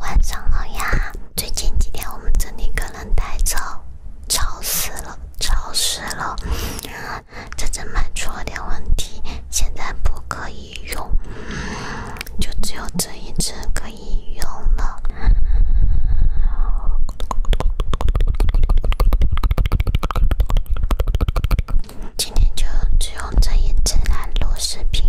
晚上好呀，最近几天我们这里可能太吵，吵死了，吵死了。这只买出了点问题，现在不可以用，就只有这一只可以用了。今天就只用这一支来录视频。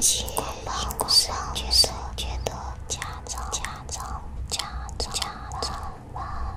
谢谢爸爸，哥哥，姐姐，姐姐的家长，家长，家长，妈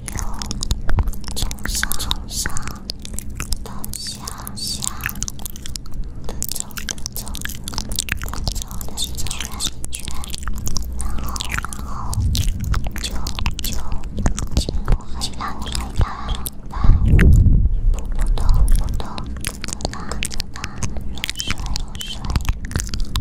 由从上从上到下下，的走走，走走的走完一圈，然后然后就就进入黑暗黑暗，扑扑通扑通，滋啦滋啦，入睡入睡。